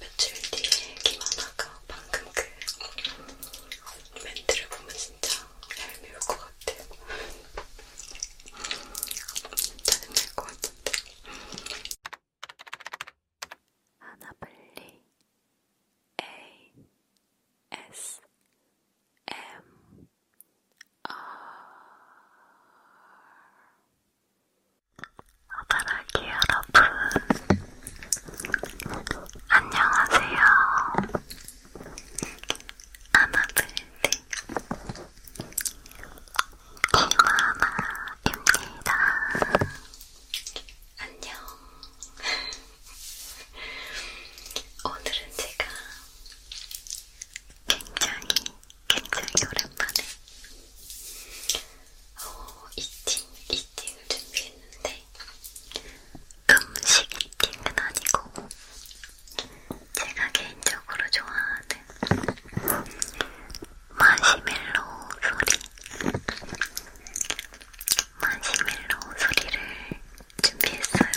며칠 뒤에 김하나가 방금 그 멘트를 보면 진짜 얄미울 것 같아요. 짜증날 것 같은데. 하나 빨리 A S M R 아바라기 여러분 안녕하세요 아마블디 김아마입니다 안녕 오늘은 제가 굉장히 굉장히 오랜만에 어, 이팅, 이팅을 준비했는데 음식 이팅은 아니고 제가 개인적으로 좋아하는 마시멜로 소리 마시멜로 소리를 준비했어요.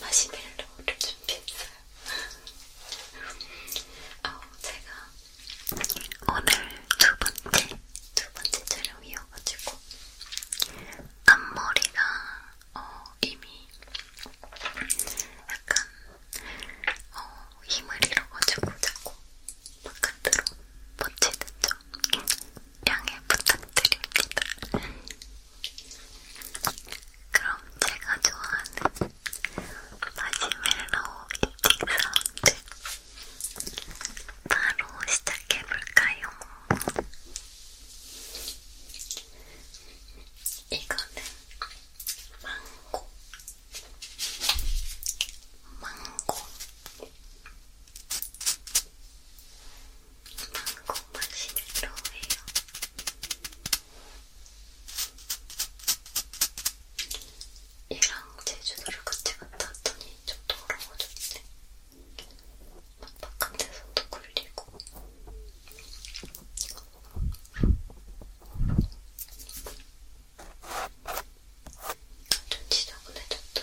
마시멜로를 준비했어요. 어, 제가 오늘 두 번째, 두 번째 촬영이어가지고 앞머리가 어, 이미 약간 어, 힘을 잃어가지고 자꾸 바깥으로 뻗치는 점 양해 부탁드립니다. 그럼 제가 좋아하는 마시멜로우 이팅 사운드 바로 시작해볼까요? 이거는 망고 망고 방콕 박신으로 해요. 얘랑 제주도를 같이 갔다 왔더니 좀 더러워졌네. 막 바깥에서도 굴리고. 좀 지저분해졌다.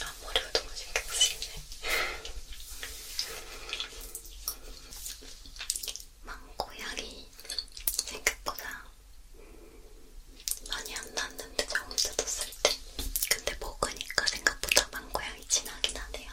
아, 머리가 너무 신경 쓰이네. 망고향이 생각보다 많이 안 났는데 처음 뜯었을 때 근데 먹으니까 생각보다 망고향이 진하긴 하네요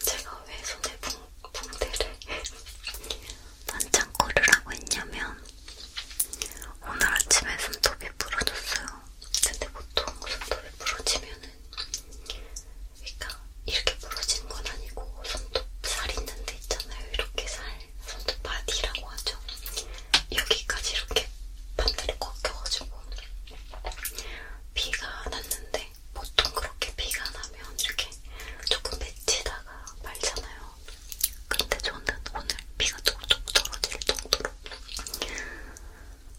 제가 왜 손에 봉, 봉대를 반창고르라고 했냐면 오늘 아침에 손톱이 부러졌어요. 근데 보통 손톱이 부러지면은 그러니까 이렇게 부러지는 건 아니고 손톱 살 있는 데 있잖아요. 이렇게 살 손톱 바디라고 하죠. 여기까지 이렇게 반대로 꺾여가지고 비가 났는데 보통 그렇게 비가 나면 이렇게 조금 맺히다가 말잖아요. 근데 저는 오늘 비가 뚝뚝 떨어질 정도로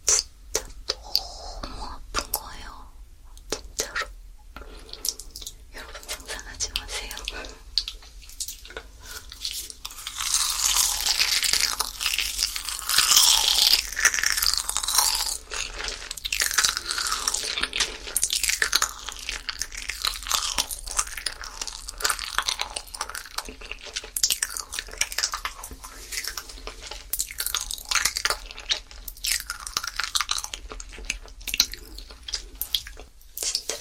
진짜 너무 아픈 거예요. 진짜로. 여러분 상상하지 마세요. 진짜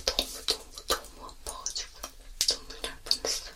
너무 너무 너무 아파가지고 눈물 날 뻔했어요.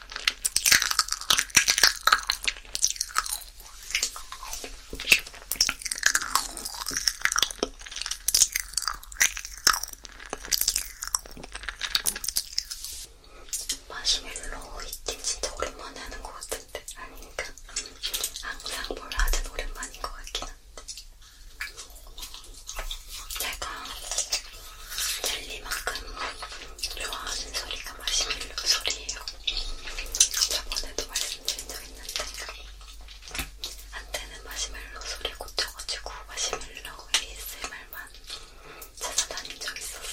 마시멜로 이팅 진짜 오랜만에 하는 것 같은데 아닌가? 항상 뭘 하든 오랜만인 것 같긴 한데. 제가 젤리만큼 좋아하는 소리가 마시멜로 소리예요. 저번에도 말씀드린 적 있는데 한때는 마시멜로 소리 고쳐가지고 마시멜로 ASMR만 찾아다닌 적 있었어요.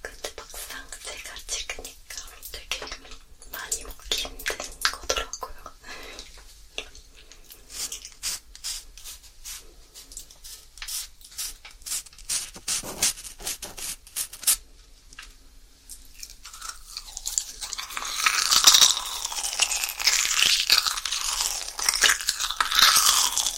근데 막상 제가 찍으니까 되게 많이 먹기 힘든 거더라고요.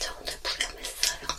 저 오늘 부렴했어요.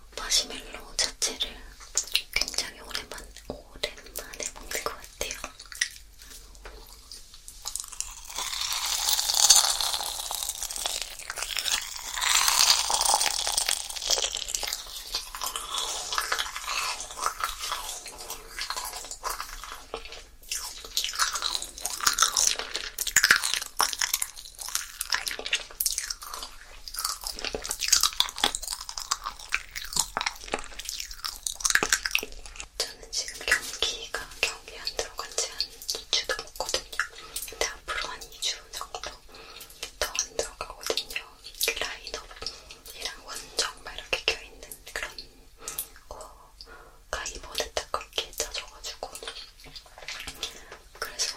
마시멜로 자체를 굉장히 오랜만, 오랜만에 먹는 것 같아요. 저는 지금 경기가 경기 안 들어간 지한 2주도 먹거든요. 근데 앞으로 한 2주 정도 더 안 들어가거든요. 그 라인업이랑 원정 막 이렇게 껴있는 그런 거가 이번에 딱 그렇게 짜져가지고. 그래서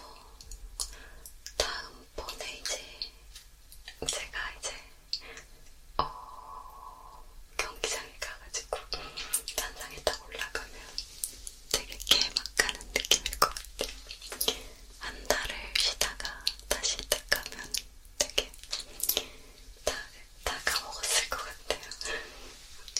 다음번에 이제 제가 이제 어, 경기장에 가가지고 단상에 딱 올라가면 되게 개막하는 느낌일 것 같아요. 한 달을 쉬다가 다시 딱 가면 되게 다, 다 까먹었을 것 같아요.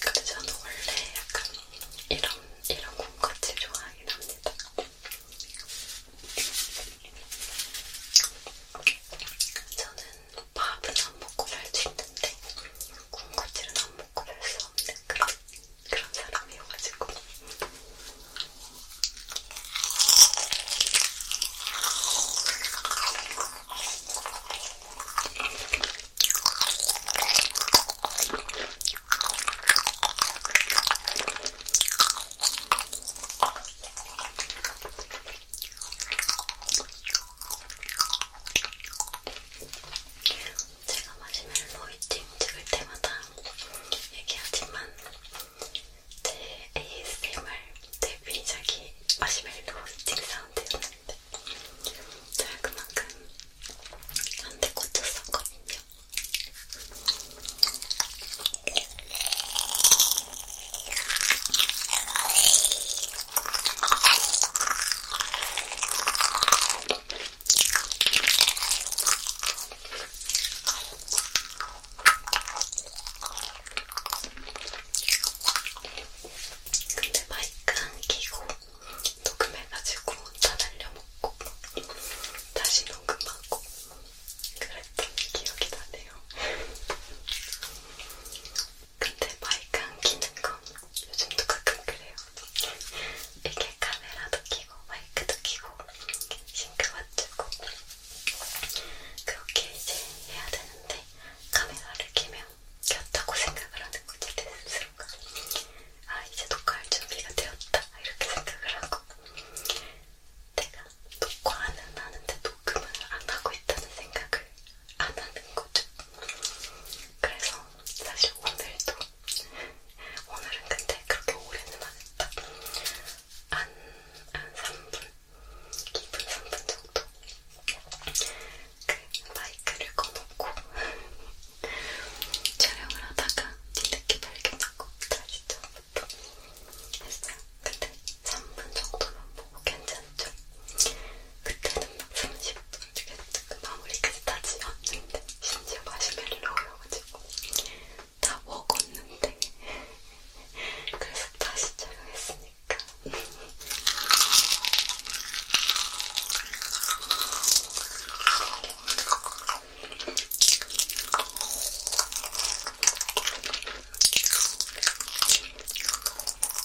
근데 저는 원래 약간 이런, 이런 콩같이 좋아하긴 합니다. 저는 밥은 안 먹고 살 수 있는데 군것질은 안 먹고 살수 없는 그런, 그런 사람이어가지고. 제가 마시멜로이팅 찍을 때마다 얘기하지만 제 ASMR 데뷔작이 마시멜로이팅 사운드였는데 제가 그만큼 한대 꽂혔었거든요. 근데 마이크 안 끼고 녹음해가지고 다 날려먹고 다시 녹음하고 그랬던 기억이 나네요. 근데 마이크 안 끼는 건 요즘도 가끔 그래요. 이게 카메라도 끼고 마이크도 끼고 싱크 맞추고 그렇게 이제 해야 되는데 카메라를 끼면 꼈다고 생각을 하는 거지 내 스스로가 아 이제 녹화할 준비가 되었다 이렇게 생각을 하고 내가 녹화는 하는데 녹음을 안 하고 있다는 생각을 안 하는 거죠. 그래서 사실 오늘도 오늘은 근데 그렇게 오래는 안 했다. 한, 한 3분, 2분, 3분 정도 그 마이크를 꺼놓고 촬영을 하다가 뒤늦게 발견하고 다시 처음부터 했어요. 근데 3분 정도만 보고 뭐 괜찮죠? 그때는 막 30분 중에 마무리까지 않는데 심지어 마시멜로여가지고 다 먹었는데 그래서 다시 촬영했으니까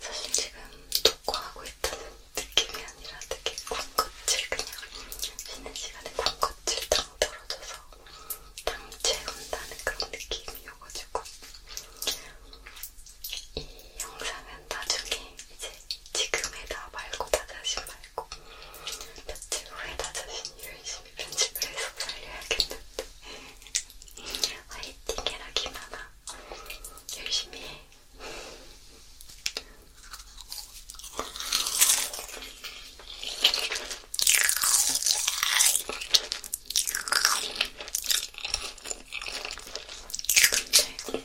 사실 지금 독과하고 있다는 느낌이 아니라 되게 군것질 그냥 쉬는 시간에 군것질 당 떨어져서 당 채운다는 그런 느낌이어가지고 이 영상은 나중에 이제 지금에다 말고 나 자신 말고 며칠 후에 나 자신이 열심히 편집을 해서 살려야겠는데 화이팅 해라 김하나 열심히 해 근데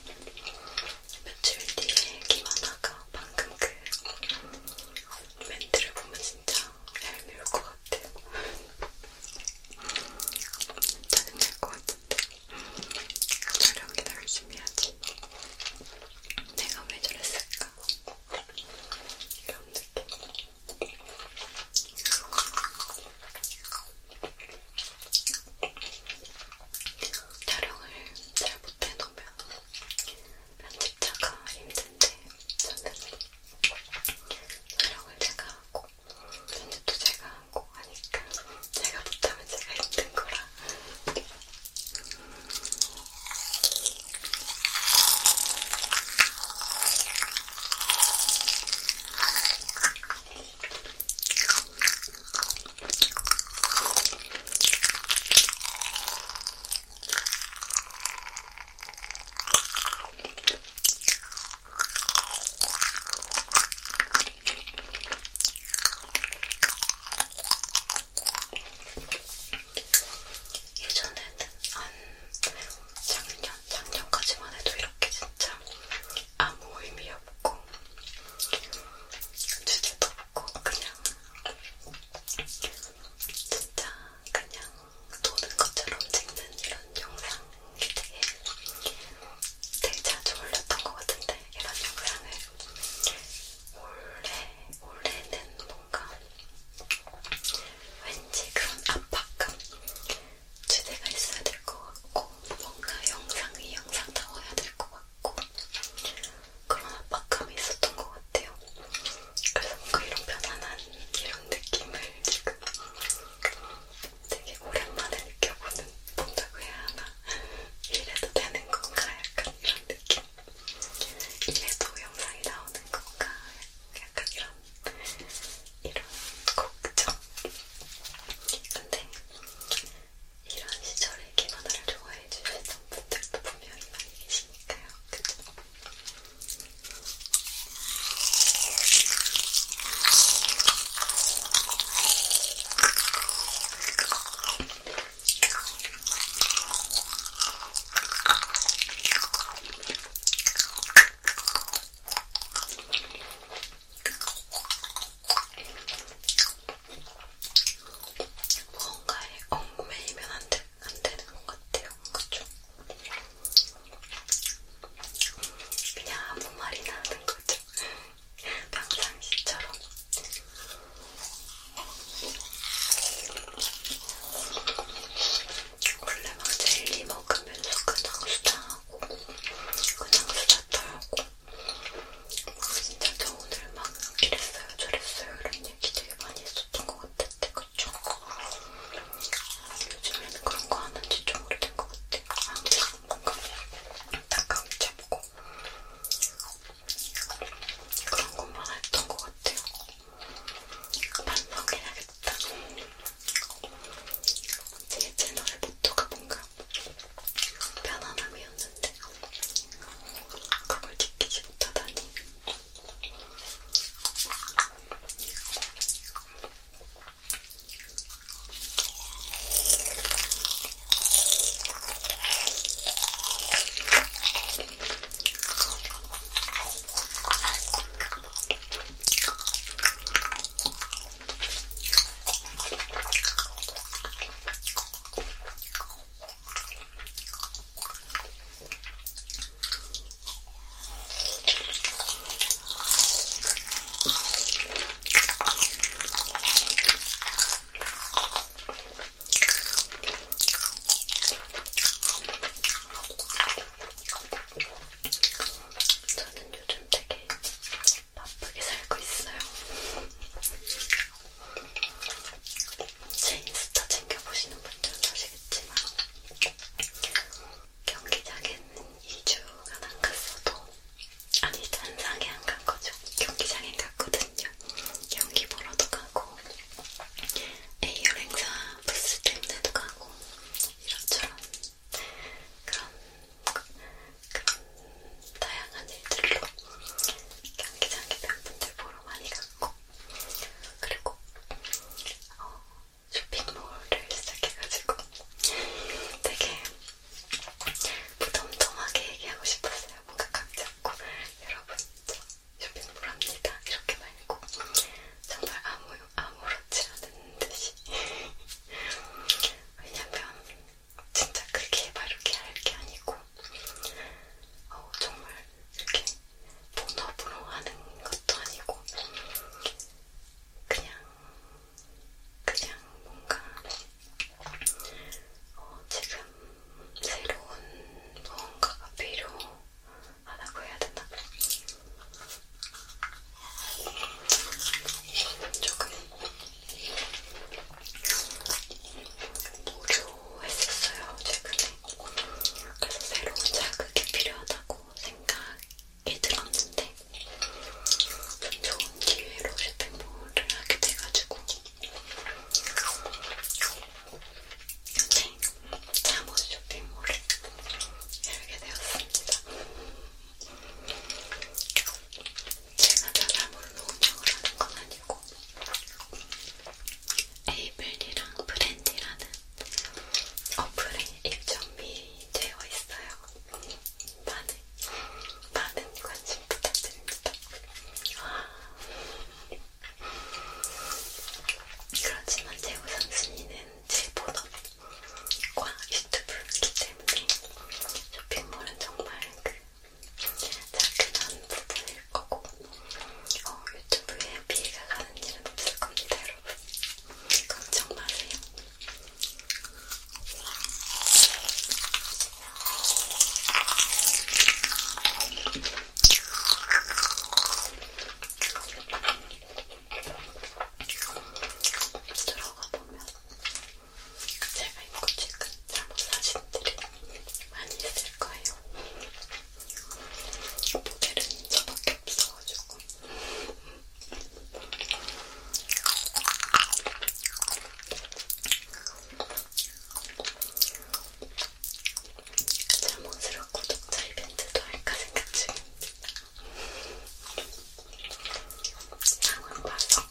며칠 뒤에 김하나가 방금 그 멘트를 보면 진짜 얄미울 것 같아요. 짜증날 것 같은데. 촬영이나 열심히 하지. 내가 왜 저랬을까? 이런 느낌. 촬영을 잘 못해놓으면 편집자가 힘든데 저는 촬영을 제가 하고 편집도 제가 하고 하니까 제가 못하면 제가 힘든 거라 예전에는 한 작년, 작년까지만 해도 이렇게 진짜 아무 의미 없 덮고 주제 덮고 그냥 진짜 그냥 노는 것처럼 찍는 이런 영상이 되게 되게 자주 올렸던 것 같은데 이런 영상을 원래 원래는 뭔가 왠지 그런 압박감 주제가 있어야 될 것 같고 뭔가 영상이 영상다워야 될 것 같고 같고 그런 압박감이 있었던 것 같아요. 그래서 뭔가 이런 편안한 이런 느낌을 지금 되게 오랜만에 느껴보는 본다고 해야 하나? 이래도 되는 건가? 약간 이런 느낌. 이래도 영상이 나오는 건가? 약간 이런 이런 걱정. 근데 이런 시절에 기만화를 좋아해 주시던 분들도 분명히 많이 계시니까요. 그쵸? 무언가에 얽매이면 안, 되, 안 되는 것 같아요. 그쵸? 그냥 아무 말이나 하는 거죠. 평상시처럼. 원래 막 젤리 먹으면서 그냥 수다하고 그냥 수다 떨고 진짜 저 오늘 막 이랬어요 저랬어요 이런 얘기 되게 많이 했었던 것 같았대 그쵸? 아, 요즘에는 그런 거 하는지 좀 오래된 것 같아요 항상 뭔가 안타까움 잡고 그런 것만 했던 것 같아요 반성해야겠다 제 채널을 말투가 뭔가 편안함이었는데 그걸 지키지 못하다니 저는 요즘 되게 바쁘게 살고 있어요. 제 인스타 챙겨보시는 분들은 아시겠지만 경기장에는 2주간 안 갔어도 아니 단상에 안 간 거죠. 경기장에 갔거든요. 경기 보러도 가고 A열 행사 부스 때문에도 가고 이런저런 그런 다양한 일들로 경기장에 팬분들 보러 많이 갔고 그리고 어, 쇼핑몰을 시작해가지고 되게 무덤덤하게 얘기하고 싶었어요. 뭔가 각 잡고 여러분 저 쇼핑몰 합니다. 이렇게 말고 정말 아무, 아무렇지 않은 듯이 왜냐면 진짜 크게 바르게 할 게 아니고 어, 정말 이렇게 본업으로 하는 것도 아니고 그냥 그냥 뭔가 어, 지금 새로운 무언가가 필요하다고 해야 되나? 조금 무료했었어요 최근에. 그래서 새로운 자극이 필요하다고 생각이 들었는데 좋은 기회로 쇼핑몰을 하게 돼가지고 네, 잠옷 쇼핑몰을 열게 되었습니다. 제가 사람으로 운영을 하는 건 아니고 에이블이랑 브랜디라는 어플에 입점이 되어 있어요. 많은, 많은 관심 부탁드립니다. 그렇지만 제 우선순위는 제 본업과 유튜브 기대 쇼핑몰은 정말 그 작은 부분일 거고 어, 유튜브에 비해가 가는 일은 없을 겁니다, 여러분. 걱정 마세요. 들어가 보면 제가 입고 찍은 잠옷 사진들이 많이 있을 거예요. 모델은 저밖에 없어가지고. 잠옷으로 구독자 이벤트도 할까 생각 중입니다. 상황 봐서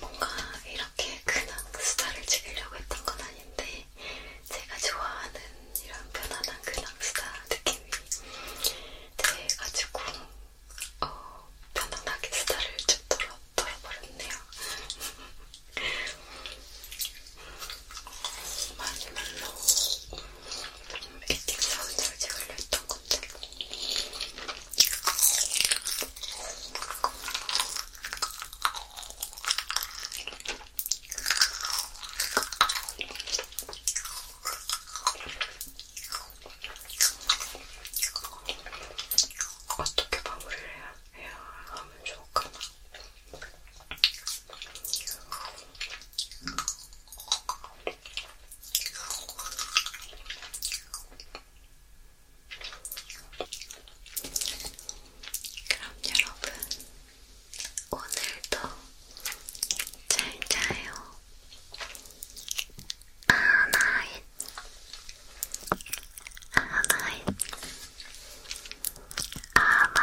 뭔가 이렇게 그냥 수다를 즐기려고 했던 건 아닌데 제가 좋아하는 이런 편안한 그냥 수다 느낌이 돼가지고 어, 편안하게 수다를 좀 떨어, 떨어버렸네요. 마시멜로 웨이팅 사운드를 제가 올렸던 건데. 어떻게 마무리를 해야, 해야 하면 좋을까나? 그럼 여러분, 오늘도 잘 자요. 아나잇, 아나잇, 아마,